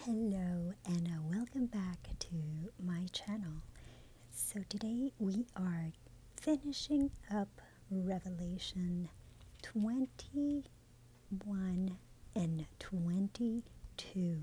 Hello and uh, welcome back to my channel. So today we are finishing up Revelation 21 and 22.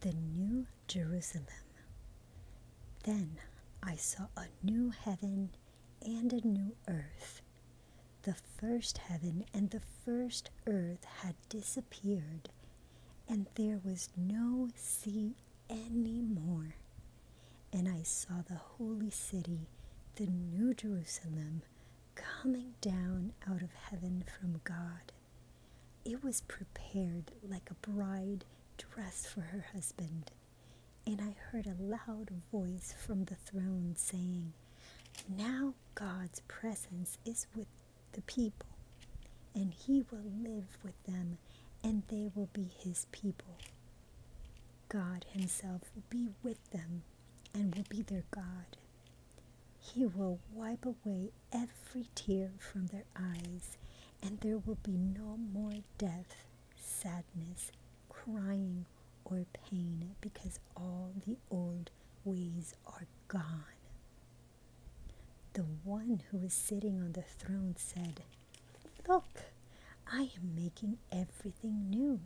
The New Jerusalem. Then I saw a new heaven and a new earth. The first heaven and the first earth had disappeared, and there was no sea any more. And I saw the holy city, the New Jerusalem, coming down out of heaven from God. It was prepared like a bride dressed for her husband. And I heard a loud voice from the throne saying, Now God's presence is with the people, and he will live with them, and they will be his people. God himself will be with them and will be their God. He will wipe away every tear from their eyes, and there will be no more death, sadness, crying, or pain, because all the old ways are gone. The one who was sitting on the throne said, Look, I am making everything new.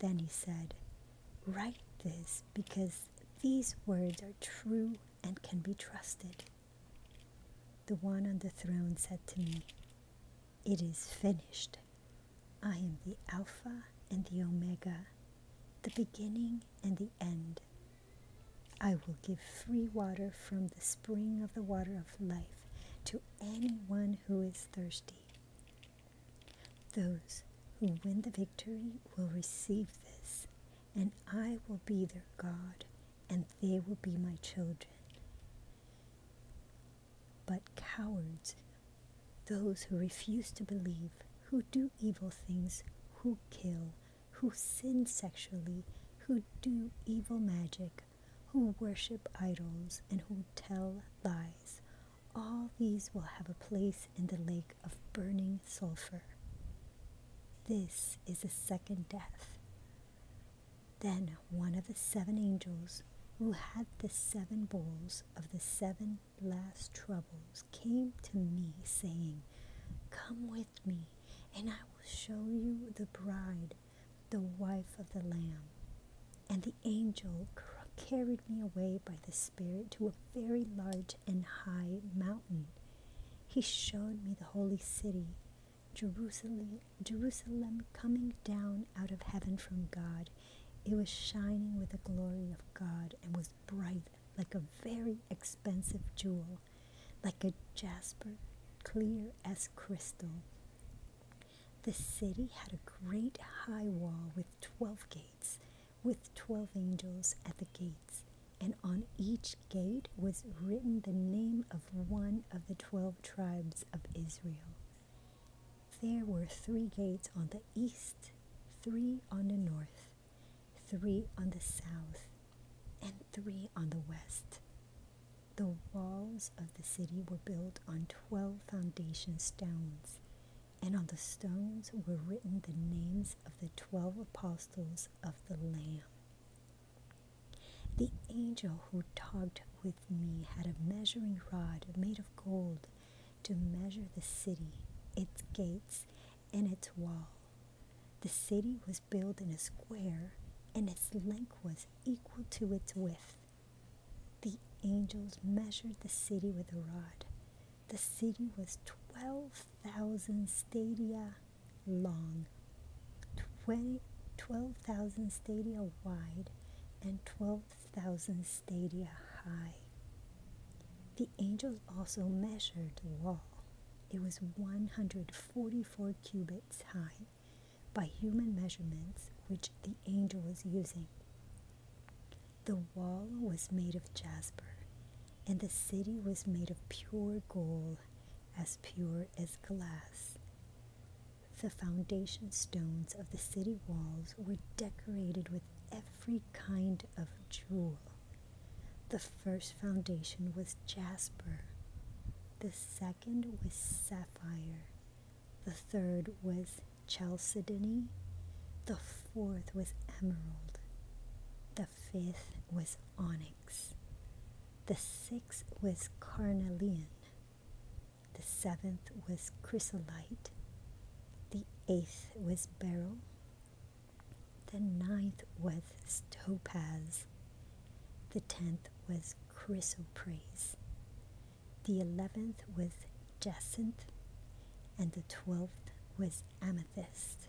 Then he said, Write this because these words are true and can be trusted. The one on the throne said to me, It is finished. I am the Alpha and the Omega, the beginning and the end. I will give free water from the spring of the water of life to anyone who is thirsty. Those who win the victory will receive this, and I will be their God, and they will be my children. But cowards, those who refuse to believe, who do evil things, who kill, who sin sexually, who do evil magic, who worship idols, and who tell lies, all these will have a place in the lake of burning sulfur. This is the second death. Then one of the seven angels who had the seven bowls of the seven last troubles came to me, saying, Come with me, and I will show you the bride, the wife of the Lamb. And the angel carried me away by the Spirit to a very large and high mountain. He showed me the holy city, Jerusalem, Jerusalem coming down out of heaven from God. It was shining with the glory of God and was bright like a very expensive jewel, like a jasper, clear as crystal. The city had a great high wall with twelve gates, with twelve angels at the gates, and on each gate was written the name of one of the twelve tribes of Israel. There were three gates on the east, three on the north, three on the south, and three on the west. The walls of the city were built on twelve foundation stones, and on the stones were written the names of the twelve apostles of the Lamb. The angel who talked with me had a measuring rod made of gold to measure the city, its gates, and its wall. The city was built in a square, and its length was equal to its width. The angels measured the city with a rod the city was 12,000 stadia long, 12,000 stadia wide, and 12,000 stadia high. The angels also measured the wall. It was 144 cubits high by human measurements, which the angel was using. The wall was made of jasper, and the city was made of pure gold, as pure as glass. The foundation stones of the city walls were decorated with every kind of jewel. The first foundation was jasper, the second was sapphire, the third was chalcedony, the the fourth was emerald, the fifth was onyx, the sixth was carnelian, the seventh was chrysolite, the eighth was beryl, the ninth was topaz, the tenth was chrysoprase, the eleventh was jacinth, and the twelfth was amethyst amethyst.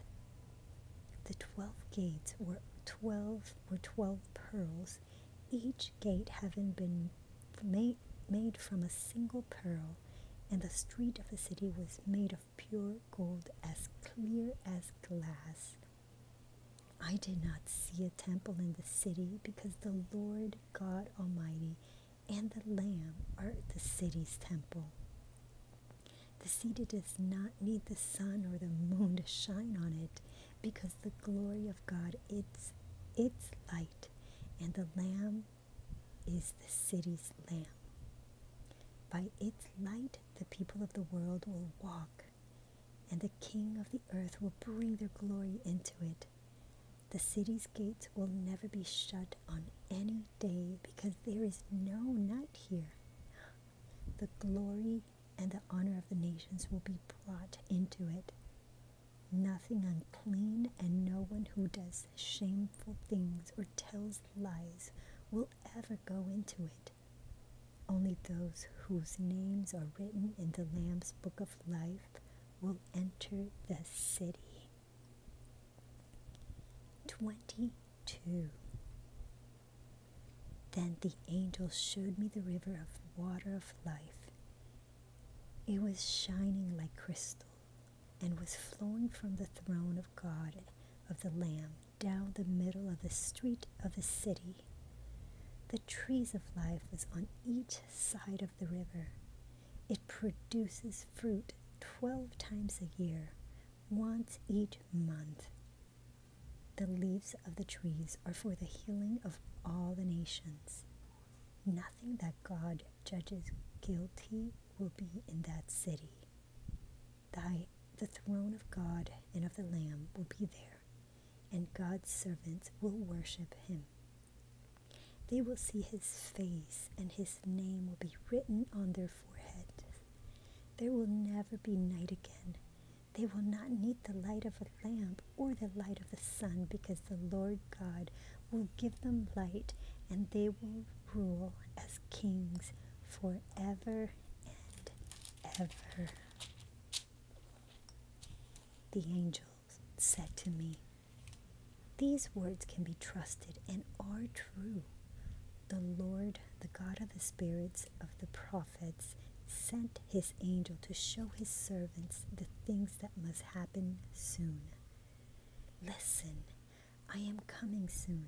The twelve gates were twelve were twelve pearls, each gate having been made, made from a single pearl, and the street of the city was made of pure gold as clear as glass. I did not see a temple in the city because the Lord God Almighty and the Lamb are the city's temple. The city does not need the sun or the moon to shine on it because the glory of God is its light, and the Lamb is the city's lamp. By its light, the people of the world will walk, and the King of the earth will bring their glory into it. The city's gates will never be shut on any day because there is no night here. The glory and the honor of the nations will be brought into it. Nothing unclean and no one who does shameful things or tells lies will ever go into it. Only those whose names are written in the Lamb's Book of Life will enter the city. 22. Then the angel showed me the river of water of life. It was shining like crystal and was flowing from the throne of God of the Lamb down the middle of the street of the city. The trees of life was on each side of the river. It produces fruit 12 times a year once each month. The leaves of the trees are for the healing of all the nations. Nothing that God judges guilty will be in that city. Thy, the throne of God and of the Lamb will be there, and God's servants will worship him. They will see his face, and his name will be written on their forehead. There will never be night again. They will not need the light of a lamp or the light of the sun, because the Lord God will give them light, and they will rule as kings forever and ever. The angel said to me, these words can be trusted and are true. The Lord, the God of the spirits of the prophets, sent his angel to show his servants the things that must happen soon. Listen, I am coming soon.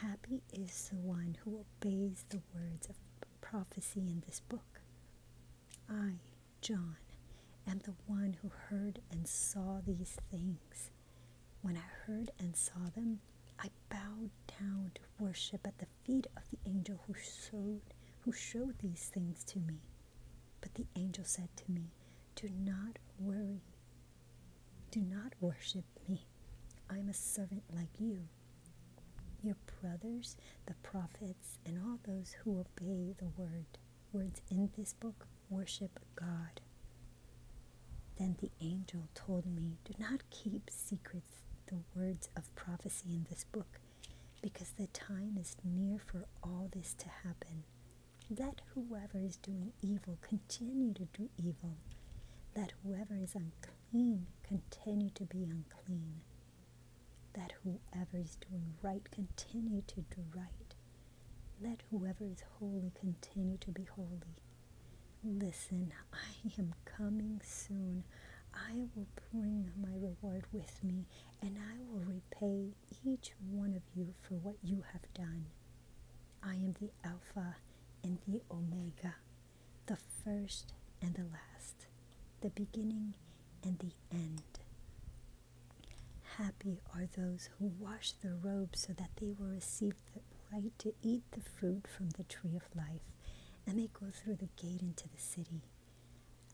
Happy is the one who obeys the words of prophecy in this book. I, John, am the one who heard and saw these things. When I heard and saw them, I bowed down to worship at the feet of the angel who showed, these things to me. But the angel said to me, Do not worry. Do not worship me. I am a servant like you. Your brothers, the prophets, and all those who obey the word, words in this book worship God. Then the angel told me, Do not keep secrets the words of prophecy in this book, because the time is near for all this to happen. Let whoever is doing evil continue to do evil. Let whoever is unclean continue to be unclean. Let whoever is doing right continue to do right. Let whoever is holy continue to be holy. Listen, I am coming soon. I will bring my reward with me, and I will repay each one of you for what you have done. I am the Alpha and the Omega, the first and the last, the beginning and the end. Happy are those who wash the their robes so that they will receive the right to eat the fruit from the tree of life, and they go through the gate into the city.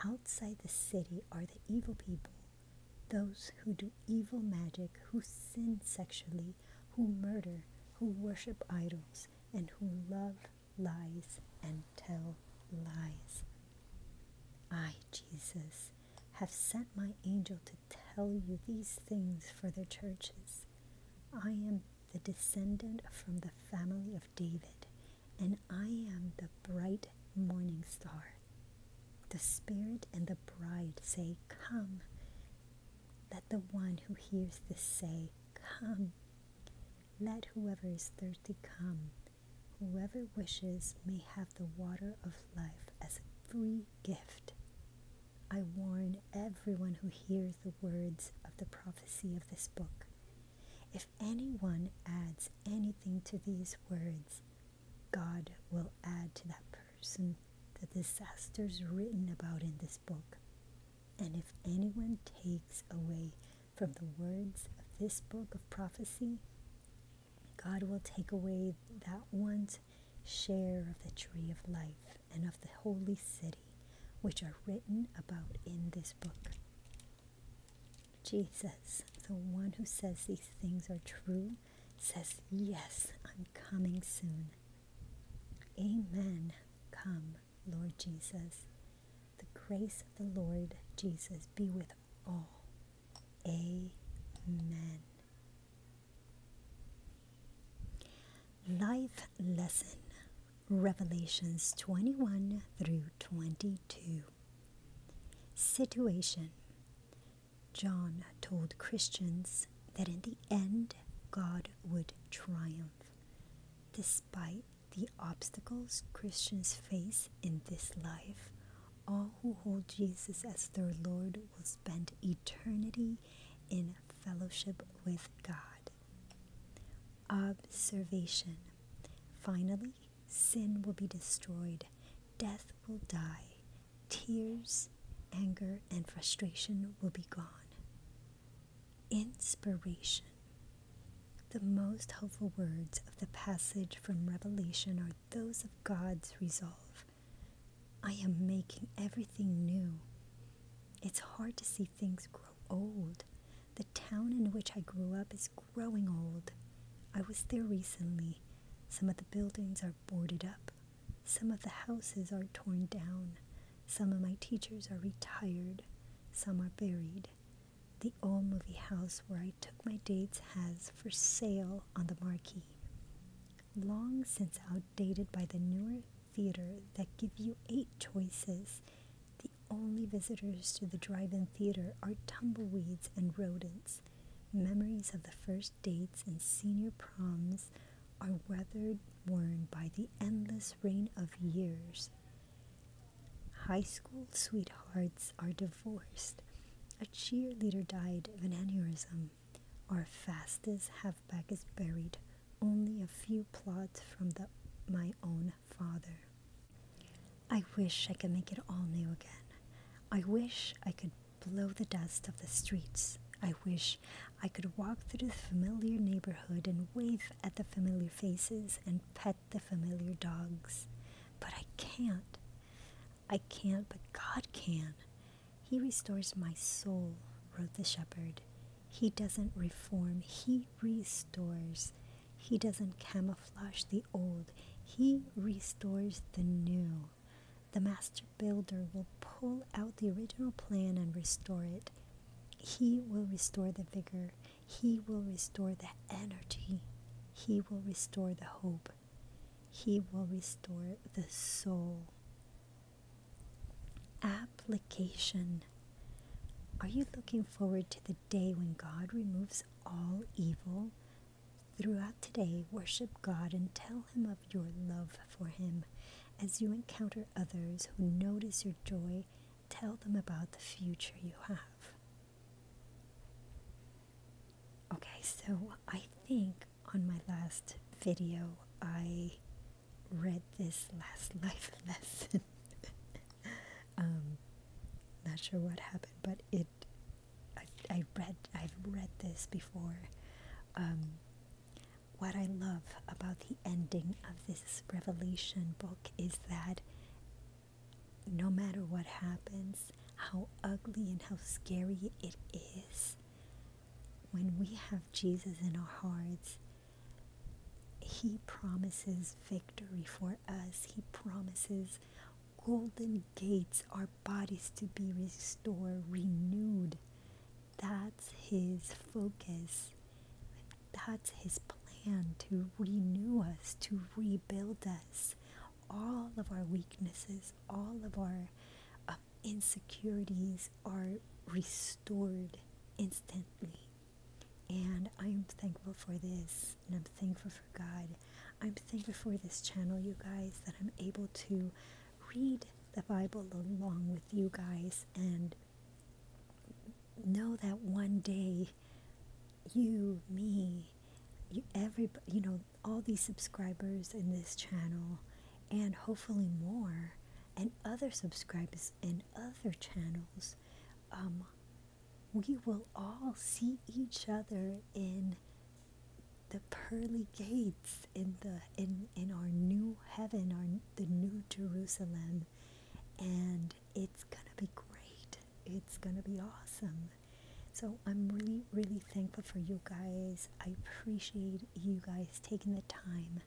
Outside the city are the evil people, those who do evil magic, who sin sexually, who murder, who worship idols, and who love lies and tell lies. I, Jesus, have sent my angel to tell you these things for their churches. I am the descendant from the family of David, and I am the bright morning star. The Spirit and the bride say, Come. Let the one who hears this say, Come. Let whoever is thirsty come. Whoever wishes may have the water of life as a free gift. I warn everyone who hears the words of the prophecy of this book. If anyone adds anything to these words, God will add to that person the disasters written about in this book. And if anyone takes away from the words of this book of prophecy, God will take away that one's share of the tree of life and of the holy city, which are written about in this book. Jesus, the one who says these things are true, says, Yes, I'm coming soon. Amen. Come, Lord Jesus. The grace of the Lord Jesus be with all. Amen. Life Lesson Revelations 21 through 22. Situation John told Christians that in the end God would triumph despite the obstacles Christians face in this life. All who hold Jesus as their Lord will spend eternity in fellowship with God. Observation. Finally, sin will be destroyed, death will die, tears, anger, and frustration will be gone. Inspiration. The most hopeful words of the passage from Revelation are those of God's resolve. I am making everything new. It's hard to see things grow old. The town in which I grew up is growing old. I was there recently. Some of the buildings are boarded up. Some of the houses are torn down. Some of my teachers are retired. Some are buried. The old movie house where I took my dates has for sale on the marquee long since outdated by the newer theater that give you eight choices. The only visitors to the drive-in theater are tumbleweeds and rodents. Memories of the first dates and senior proms are weathered worn by the endless rain of years. High school sweethearts are divorced. A cheerleader died of an aneurism. Our fastest halfback is buried only a few plots from the, my own father. I wish I could make it all new again. I wish I could blow the dust of the streets. I wish I could walk through the familiar neighborhood and wave at the familiar faces and pet the familiar dogs. But I can't. I can't, but God can. He restores my soul, wrote the shepherd. He doesn't reform, he restores. He doesn't camouflage the old, he restores the new. The master builder will pull out the original plan and restore it. He will restore the vigor. He will restore the energy. He will restore the hope. He will restore the soul. Application. Are you looking forward to the day when God removes all evil? Throughout today, worship God and tell Him of your love for Him. As you encounter others who notice your joy, tell them about the future you have. Okay, so I think on my last video I read this last life lesson. Um, not sure what happened, but it. I, I read. I've read this before. Um, what I love about the ending of this Revelation book is that no matter what happens, how ugly and how scary it is, when we have Jesus in our hearts, He promises victory for us. He promises golden gates, our bodies to be restored, renewed. That's His focus. That's His plan to renew us, to rebuild us. All of our weaknesses, all of our insecurities are restored instantly. And I am thankful for this, and I'm thankful for God. I'm thankful for this channel, you guys, that I'm able to read the Bible along with you guys and know that one day you, me, you, everybody, you know, all these subscribers in this channel and hopefully more and other subscribers and other channels um, we will all see each other in the pearly gates in the in in our new heaven our the new jerusalem and it's gonna be great it's gonna be awesome so i'm really really thankful for you guys. I appreciate you guys taking the time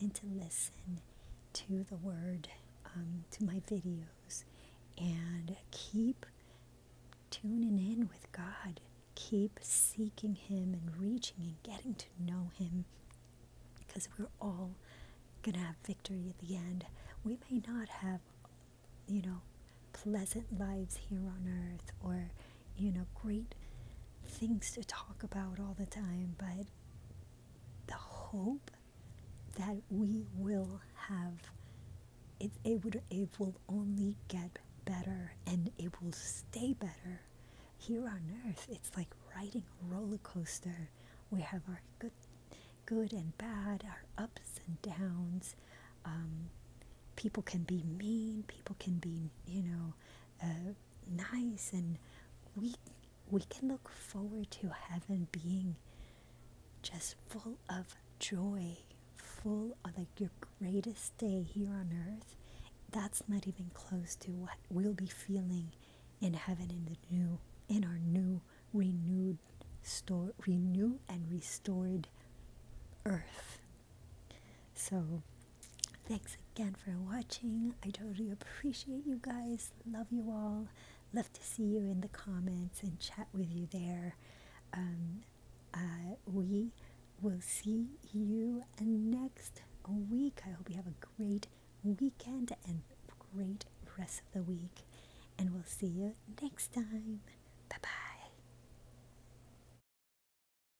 and to listen to the word, um, to my videos, and keep tuning in with God. Keep seeking Him and reaching and getting to know Him because we're all going to have victory at the end. We may not have, you know, pleasant lives here on earth or you know, great things to talk about all the time, but the hope that we will have it, it it will only get better and it will stay better here on earth it's like riding a roller coaster we have our good good and bad our ups and downs um, people can be mean people can be you know uh, nice and we we can look forward to heaven being just full of joy full of like your greatest day here on earth that's not even close to what we'll be feeling in heaven in the new in our new renewed store renew and restored earth so Thanks again for watching. I totally appreciate you guys. Love you all. Love to see you in the comments and chat with you there. Um, uh, we will see you next week. I hope you have a great weekend and great rest of the week. And we'll see you next time. Bye bye.